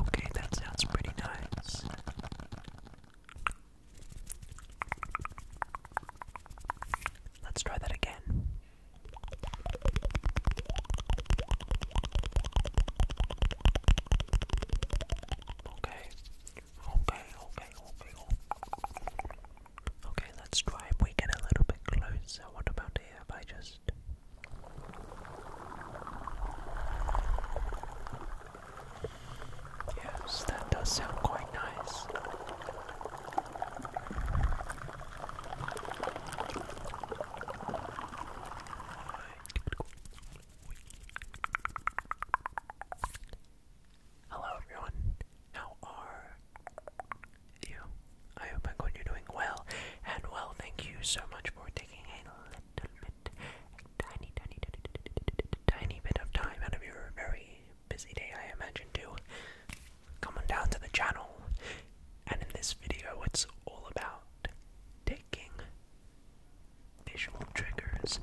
Okay, that sounds pretty nice. Let's try that again. Okay. Okay, okay, okay, okay. let's try we get a little bit closer. What about here if just Yes, that does sound quite nice. Hello everyone, how are you? I hope I'm you're doing well, and well, thank you so much for taking a little bit, tiny, tiny, tiny bit of time out of your very busy day, I imagine, to come on down to the channel and in this video, it's all about taking visual triggers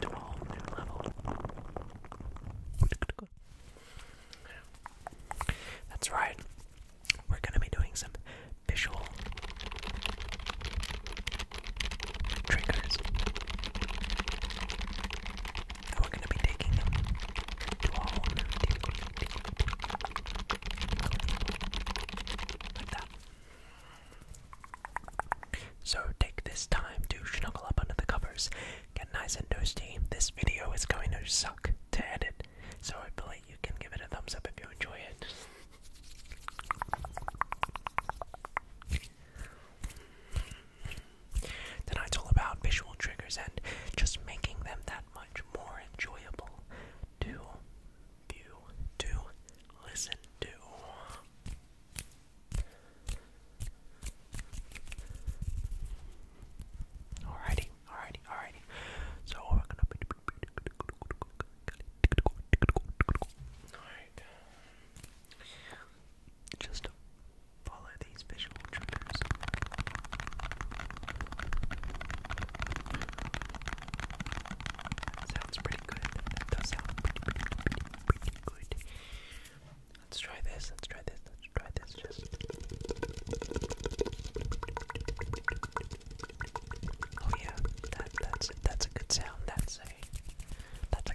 to a whole new level. That's right, we're going to be doing some visual triggers. And we're going to be taking them to a whole new so take this time to snuggle up under the covers, get nice and toasty. This video is going to suck to edit, so hopefully you can give it a thumbs up if you enjoy it. Tonight's all about visual triggers and just making them that much more enjoyable to view, to listen to. Alrighty, alrighty, alrighty. So we're gonna be alright. Just Follow these visual triggers. That sounds pretty good. That does sound pretty, pretty, pretty, pretty good. Let's try this. Let's try this. Let's try this. Just. Oh yeah, that that's that's a good sound. That's a that's a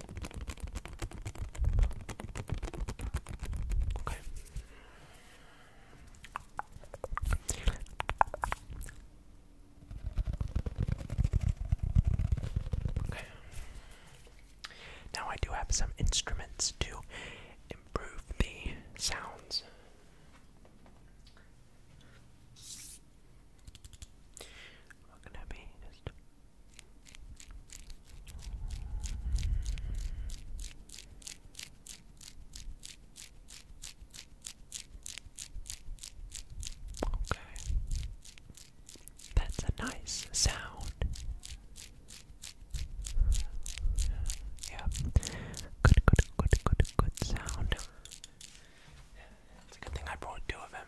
Now I do have some instruments to improve the sounds. What can I be? Just Okay. That's a nice sound. Yeah. Good, good, good, good, good sound. It's a good thing I brought two of them.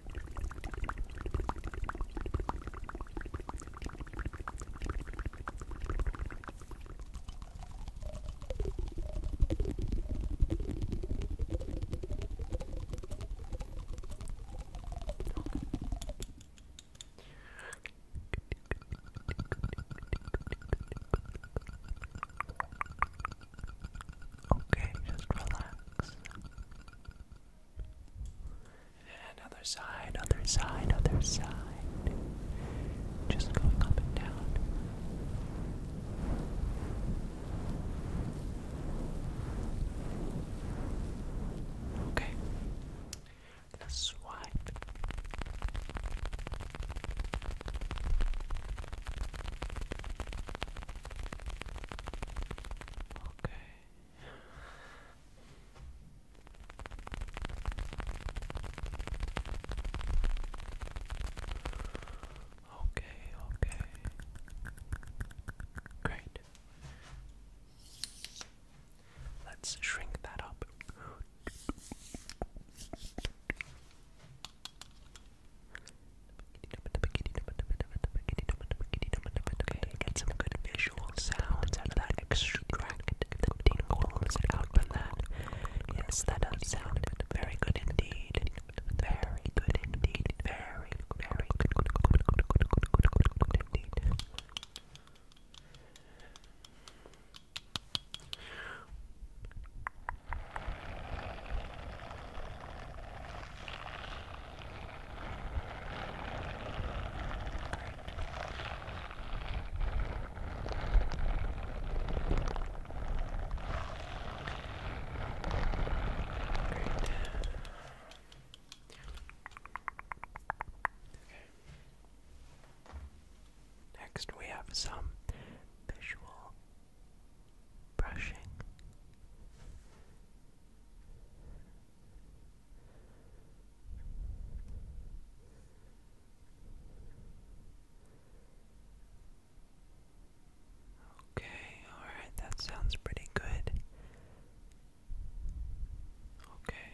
Okay, just relax. And other side, other side, other side. Just going up and down. Okay. I'm swipe. Okay. Okay, okay. Great. Let's shrink that up. Okay, get some good visual sounds out of that. Extract the tingles out of that. Yes, that does sound very good indeed. Very good indeed. Very, very good, Next, we have some visual brushing. Okay, alright, that sounds pretty good. Okay.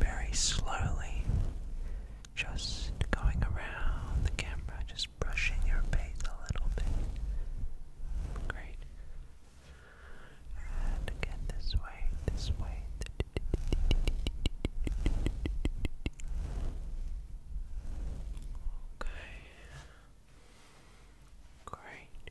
Very slowly, just going around the camera, just brushing your face a little bit. Great. And again, this way, this way. Okay. Great.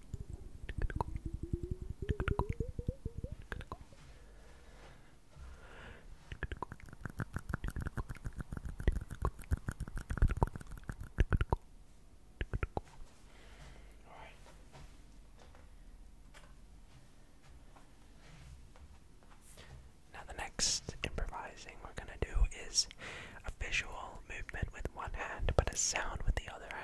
Now, the next improvising we're going to do is a visual movement with one hand, but a sound with the other hand.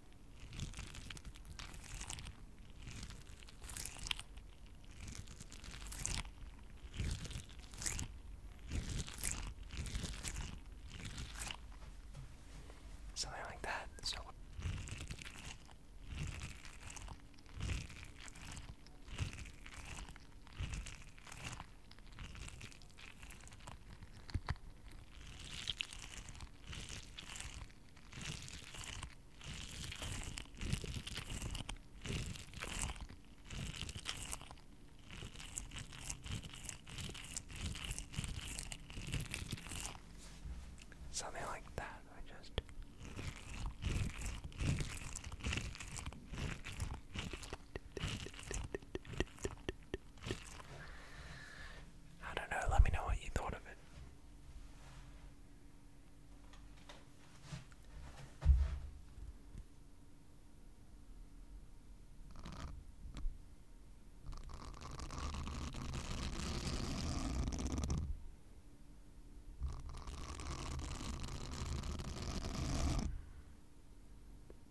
Something like that. So. Something like that, I just I don't know, let me know what you thought of it.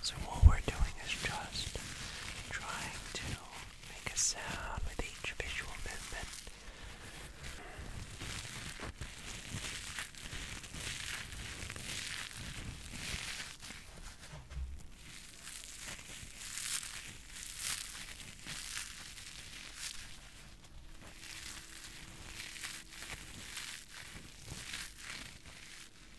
So, what we're doing is just trying to Make a sound with each visual movement. Good.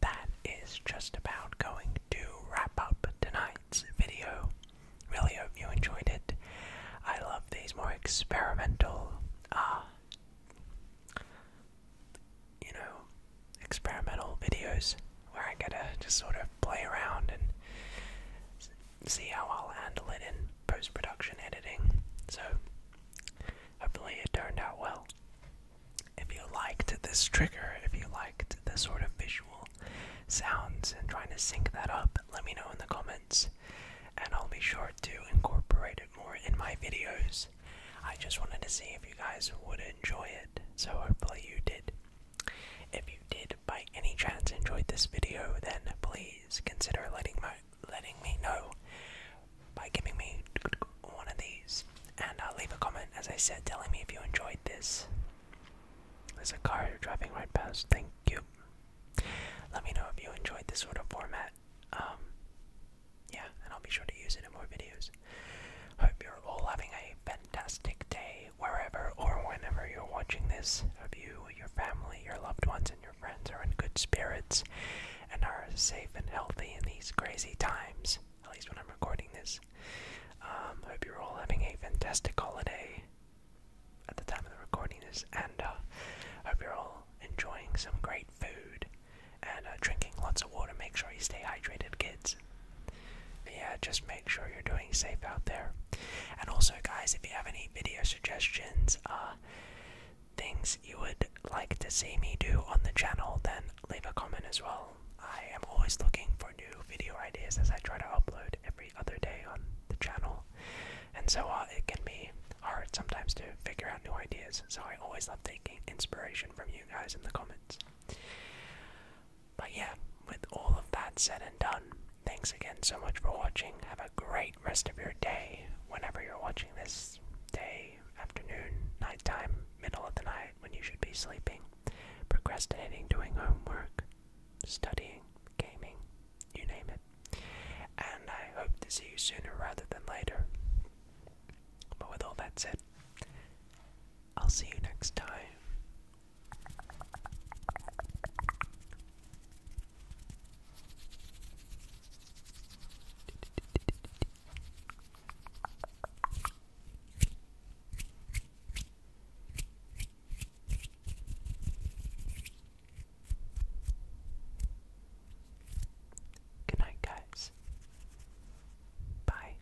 That is just about going to wrap up tonight's video. Really hope you enjoyed it. I love these more experimental uh you know, experimental videos where I get to just sort of play around and see how I'll handle it in post production editing. So, hopefully, it turned out well. If you liked this trigger, if you liked the sort of visual sounds and trying to sync that up, let me know in the comments and I'll be sure to incorporate it more in my videos. I just wanted to see if you guys would enjoy it, so hopefully you did. If you did by any chance enjoyed this video, then please consider letting my letting me know by giving me one of these. And I'll uh, leave a comment, as I said, telling me if you enjoyed this. There's a car driving right past. Thank you. Let me know if you enjoyed this sort of format. Um, yeah, and I'll be sure to use it in more videos. Hope you're all having a fantastic day wherever or whenever you're watching this. Hope you, your family, your loved ones, and your friends are in good spirits and are safe and healthy in these crazy times, at least when I'm recording this. Um, hope you're all having a fantastic holiday at the time of the recording is, and uh, hope you're all enjoying some great food and uh, drinking lots of water. Make sure you stay hydrated, kids. yeah, just make sure you're doing safe out there. And also, guys, if you have any video suggestions, uh, things you would like to see me do on the channel, then leave a comment as well. I am always looking for new video ideas as I try to upload every other day on the channel. And so uh, it can be hard sometimes to figure out new ideas. So I always love taking inspiration from you guys in the comments. But yeah, with all of that said and done, thanks again so much for watching. Have a great rest of your day whenever you're watching this day, afternoon, nighttime, middle of the night when you should be sleeping, procrastinating, doing homework, studying, gaming, you name it. And I hope to see you sooner rather than later. But with all that said, I'll see you next time. Good night, guys. Bye.